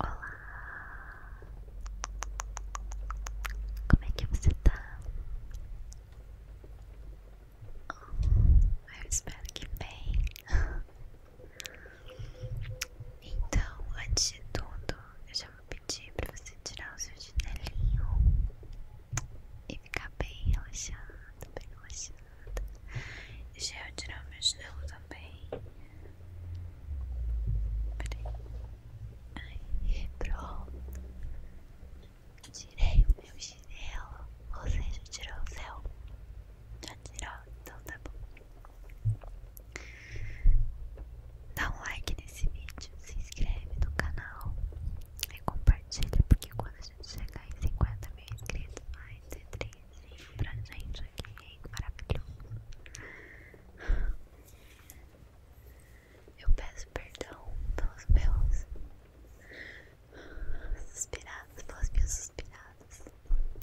Olá! Como é que você tá? Oh, eu espero que bem. Então, antes de tudo, eu já vou pedir para você tirar o seu chinelinho e ficar bem relaxado, bem relaxado já Deixa o meu chinelo também. Aí, pronto. Tirei o meu chinelo. É ou seja tirou o seu? Já tirou? Então tá bom. Dá um like nesse vídeo, se inscreve no canal e compartilha, porque quando a gente chegar em 50 mil inscritos, vai ser pra gente aqui, maravilhoso. Eu peço perdão pelos meus suspirados, pelas minhas suspiradas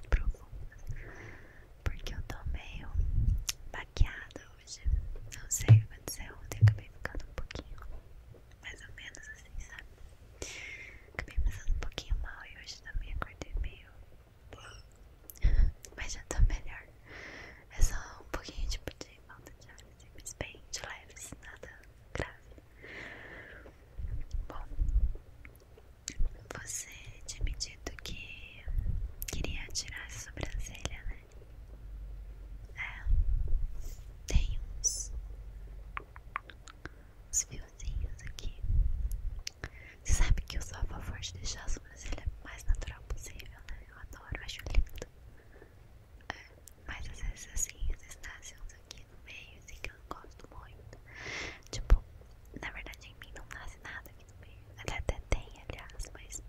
profundas, porque eu tô meio baqueada hoje. Não sei o que aconteceu ontem, acabei ficando um pouquinho mais ou menos assim, sabe? Acabei pensando um pouquinho mal e hoje também acordei meio. Mas já tô melhor. É só um pouquinho tipo de falta de ar, assim, bem de leves, nada grave. Bom, você tinha me dito que queria tirar a sobrancelha, né? É, tem uns os fiozinhos aqui. Você sabe que eu sou a favor de deixar a sobrancelha é mais natural possível, né? Eu adoro, acho lindo. É, mas às vezes assim, às vezes nascem uns aqui no meio, assim, que eu não gosto muito. Tipo, na verdade em mim não nasce nada aqui no meio. Até, até tem, aliás, mas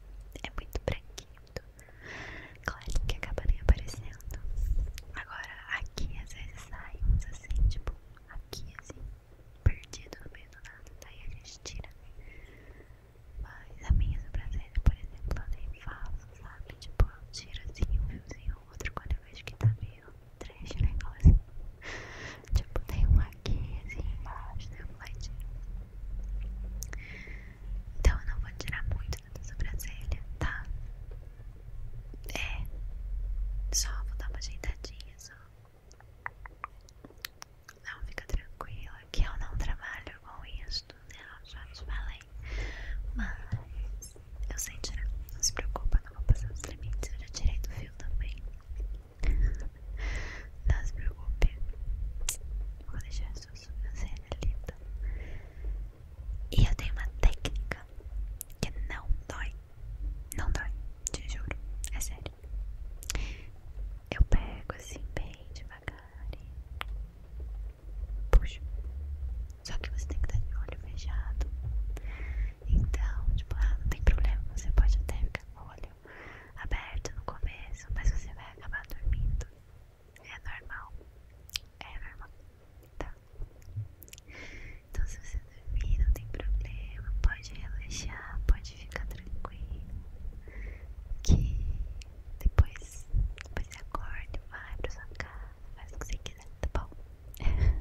é muito branquinho, Claro que acaba nem aparecendo. Agora aqui às vezes sai uns assim, tipo, aqui assim, perdido no meio do nada, daí a gente tira. Mas a minha sobrancelha, por exemplo, eu nem faço, sabe? Tipo, eu tiro assim um fiozinho ou outro quando eu vejo que tá meio trash o negócio. tipo, tem um aqui assim embaixo, tem um lá e tiro. Então eu não vou tirar muito na tua sobrancelha, tá? É. Só vou dar uma ajeitadinha, só. Não, fica tranquila que eu não trabalho com isso, né? Eu já te falei. Mas eu sei tirar. Não se preocupa, não vou passar os limites. Eu já tirei do fio também. Não se preocupe. Vou deixar a sua sobrancelha linda. Tá? E eu tenho uma técnica que não dói. Não dói, te juro, é sério. Eu pego assim bem devagar e puxo. Só que você tem que estar de olho fechado. Então, tipo, ah, não tem problema, você pode até ficar com o olho aberto no começo, mas você vai acabar dormindo. É normal. É normal. Tá. Então se você dormir, não tem problema. Pode relaxar, pode ficar tranquilo. Que depois, depois você acorda, vai pra sua casa, faz o que você quiser, tá bom?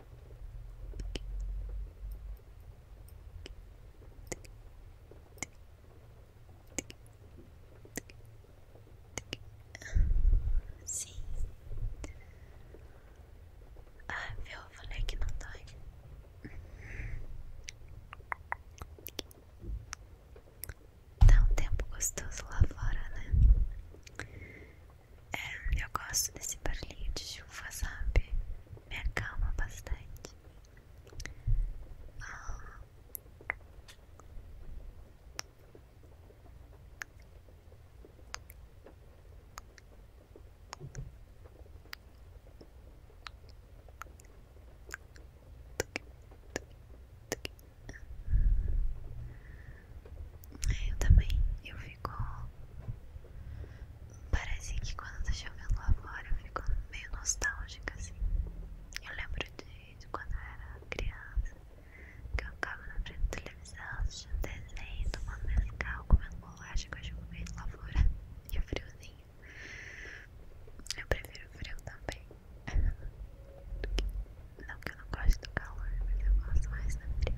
Sim. Ah, viu? Eu falei que não dói. Dá um tempo gostoso lá fora, né? É, eu gosto desse barulhinho de chuva, sabe? Me acalma bastante. Ah. Eu também, eu fico. Parece que quando tá chovendo lá fora eu fico meio nostálgica assim. Eu lembro de, quando eu era criança, que eu ficava na frente da televisão, assistindo desenho, tomando mescal, comendo bolacha com a chuva lá fora e o friozinho. Eu prefiro frio também. Não que eu não gosto calor, mas eu gosto mais do frio.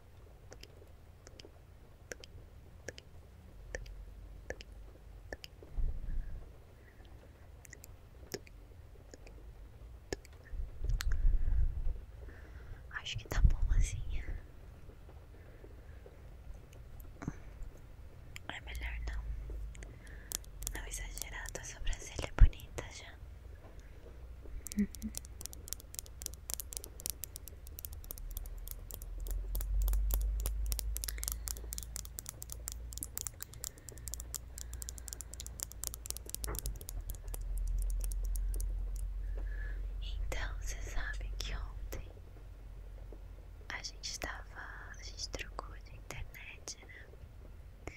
Acho que tá bom assim. É melhor não. Não exagerar, tua tá? sobrancelha é bonita já. Então, você sabe que ontem a gente estava, a gente trocou de internet, né?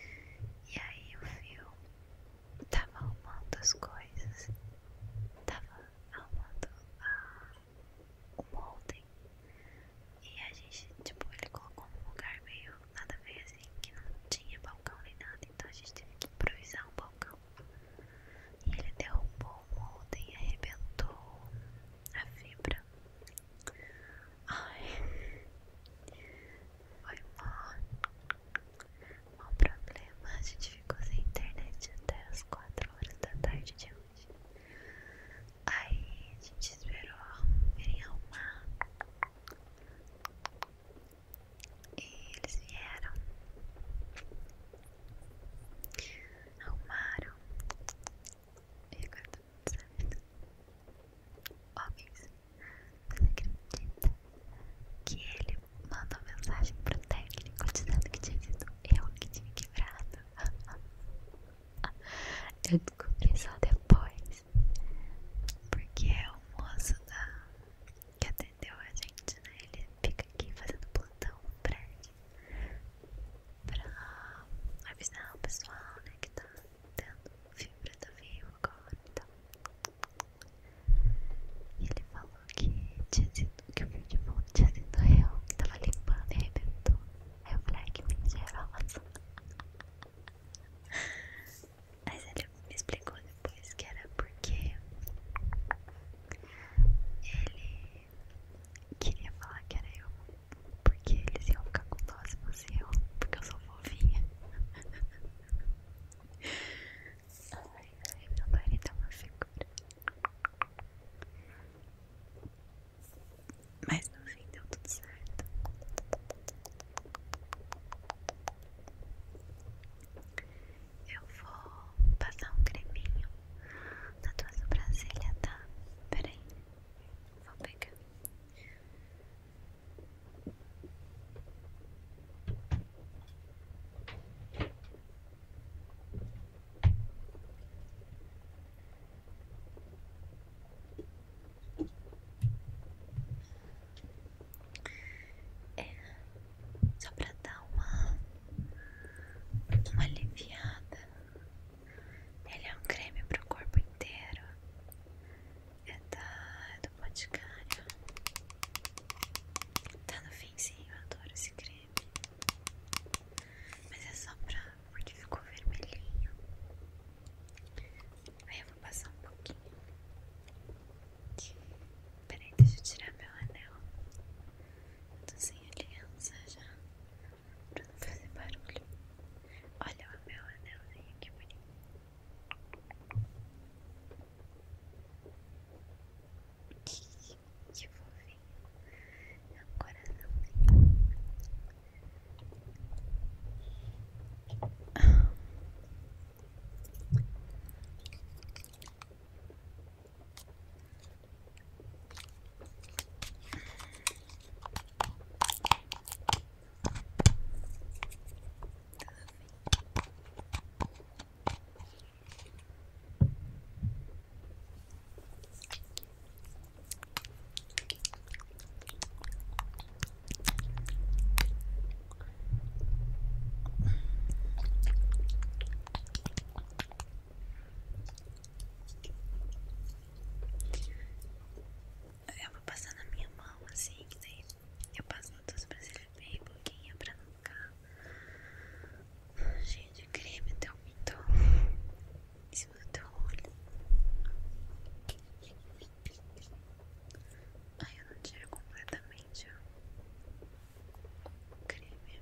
E aí o vi tava arrumando as coisas, tava arrumando o ah, molde e a gente, tipo, ele colocou num lugar meio nada bem assim, que não tinha balcão nem nada, então a gente teve que improvisar um balcão. E ele derrubou o molde e arrebentou a fibra. Ai, foi mó não problema, a gente ficou sem internet até as 4 horas da tarde de hoje. Aí a gente esperou virem arrumar. E eles vieram. Arrumaram. E agora todo mundo sabe. Homens, você acredita que ele ele mandou mensagem pro técnico dizendo que tinha sido eu que tinha quebrado. Eu descobri só depois, porque é o moço da... que atendeu a gente, né? Ele fica aqui fazendo plantão no prédio pra avisar o pessoal, né? Que tá dando fibra da vivo agora e então. tal. E ele falou que, tinha sido, que o fio de tinha sido real, que tava limpando e arrebentou. Aí eu falei, que ah, que mentirosa. Mas ele me explicou depois que era porque ele queria falar que era eu, porque eles iam ficar com dó se fosse eu, porque eu sou fofinha. Ai, meu marido é uma figura. Mas no fim deu tudo certo. Eu vou passar um creminho na tua sobrancelha, tá? Peraí, vou pegar. É, só para dar uma, uma aliviada. Ele é um creme para o corpo inteiro. É do Boticário. Tá no finzinho, eu adoro esse creme. Mas é só pra. porque ficou vermelhinho. Aí eu vou passar um pouquinho. Peraí, deixa eu tirar meu anel. tô sem aliança já. Pra não fazer barulho. Olha o meu anelzinho, que bonito. Que fofinho. É um coraçãozinho. Eu vou passar na minha mão assim, que daí eu passo todos pra vocês bem pouquinho pra não ficar cheio de creme até o pintor em cima do teu olho. Aí eu não tiro completamente o creme.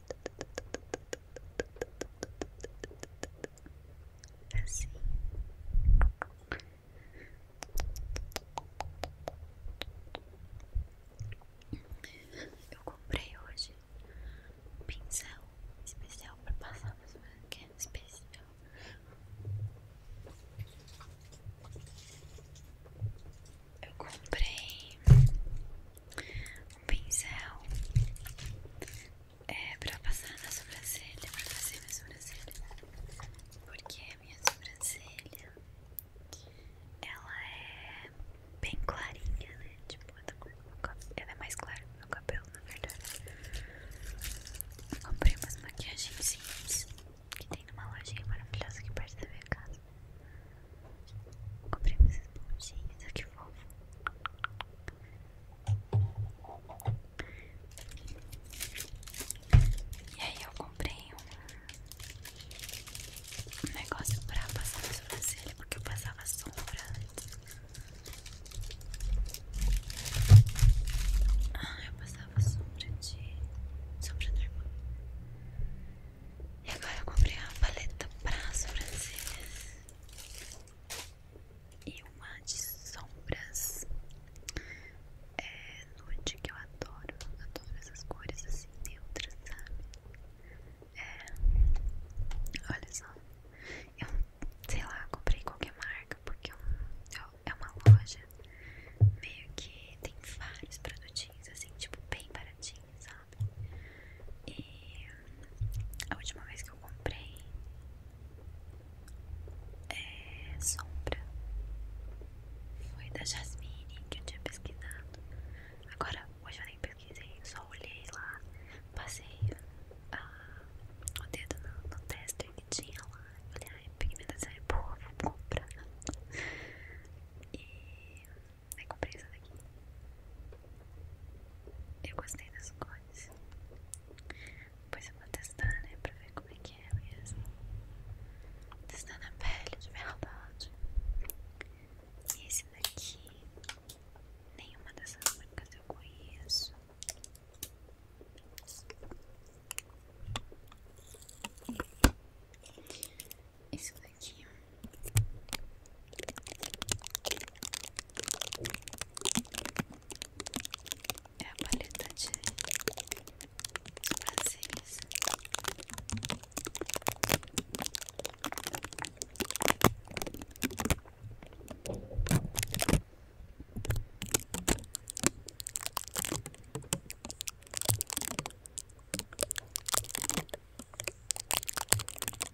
Assim. Eu comprei hoje um pincel especial para passar nas branquelas especial. Eu comprei um pincel é pra passar na sobrancelha, pra fazer minha sobrancelha. Porque a minha sobrancelha ela é bem clarinha, né? Tipo, ela é mais clara que meu cabelo, na verdade. comprei umas maquiagenzinhas que tem numa lojinha maravilhosa aqui perto da minha casa. Comprei umas esponjinhas, olha que fofo. E aí eu comprei um, negócio pra passar na sobrancelha, porque eu passava sombra antes. Ah, eu passava sombra de... sombra normal. E agora eu comprei uma paleta pra sobrancelhas e uma de sombras é, nude que eu adoro, adoro essas cores assim neutras, sabe? É, olha só, eu sei lá, comprei qualquer marca porque é, é uma loja meio que tem vários produtinhos assim, tipo bem baratinhos, sabe? E a última vez que eu comprei é sombra foi da Jasmine que eu tinha pesquisado. Agora, hoje eu nem pesquisei, só olhei lá, passei ah, o dedo no, no e que tinha lá. Olha, a pigmentação é boa, vou comprar. E Aí comprei essa daqui. Eu gostei das cores. Depois eu vou testar, né? Pra ver como é que é mesmo. Testar na pele de verdade. E esse daqui. Nenhuma dessas marcas eu conheço. esse daqui é é a paleta de vasilhas.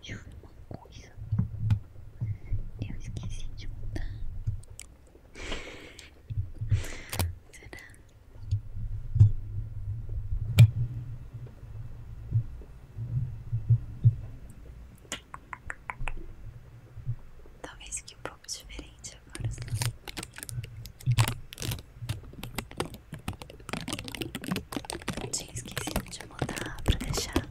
Deixa eu ver uma coisa. Eu esqueci de mudar. Será? Talvez que um pouco diferente agora. Eu tinha esquecido de mudar pra deixar.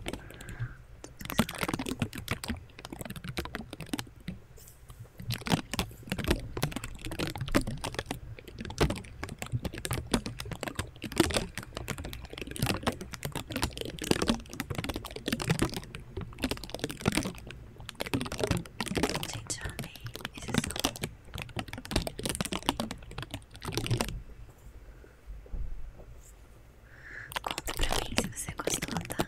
Gente, amei esse som. Conta pra mim se você gostou, tá?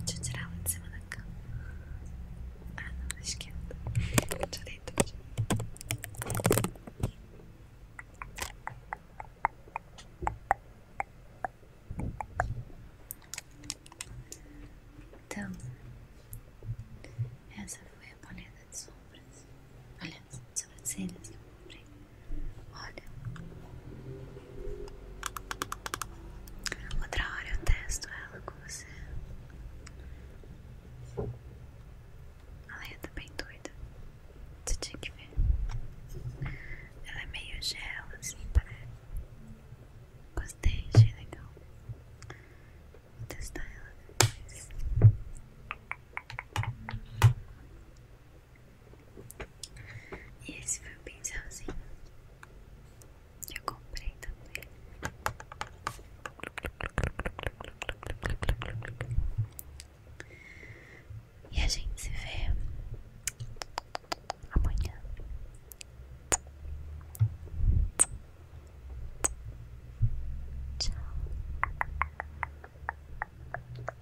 Deixa eu tirar ela de cima da cama. Ah, não, da esquerda. Tirei tudo. Então, essa foi a paleta de sombras. Paleta de sobrancelhas. Olha, outra hora eu testo ela com você. Ela é bem doida. Você tinha que ver. Ela é meio gel, assim, parece. Tá? Gostei, achei legal. Vou testar ela depois. E esse foi o pincelzinho que eu comprei também. E a gente se vê amanhã. Tchau.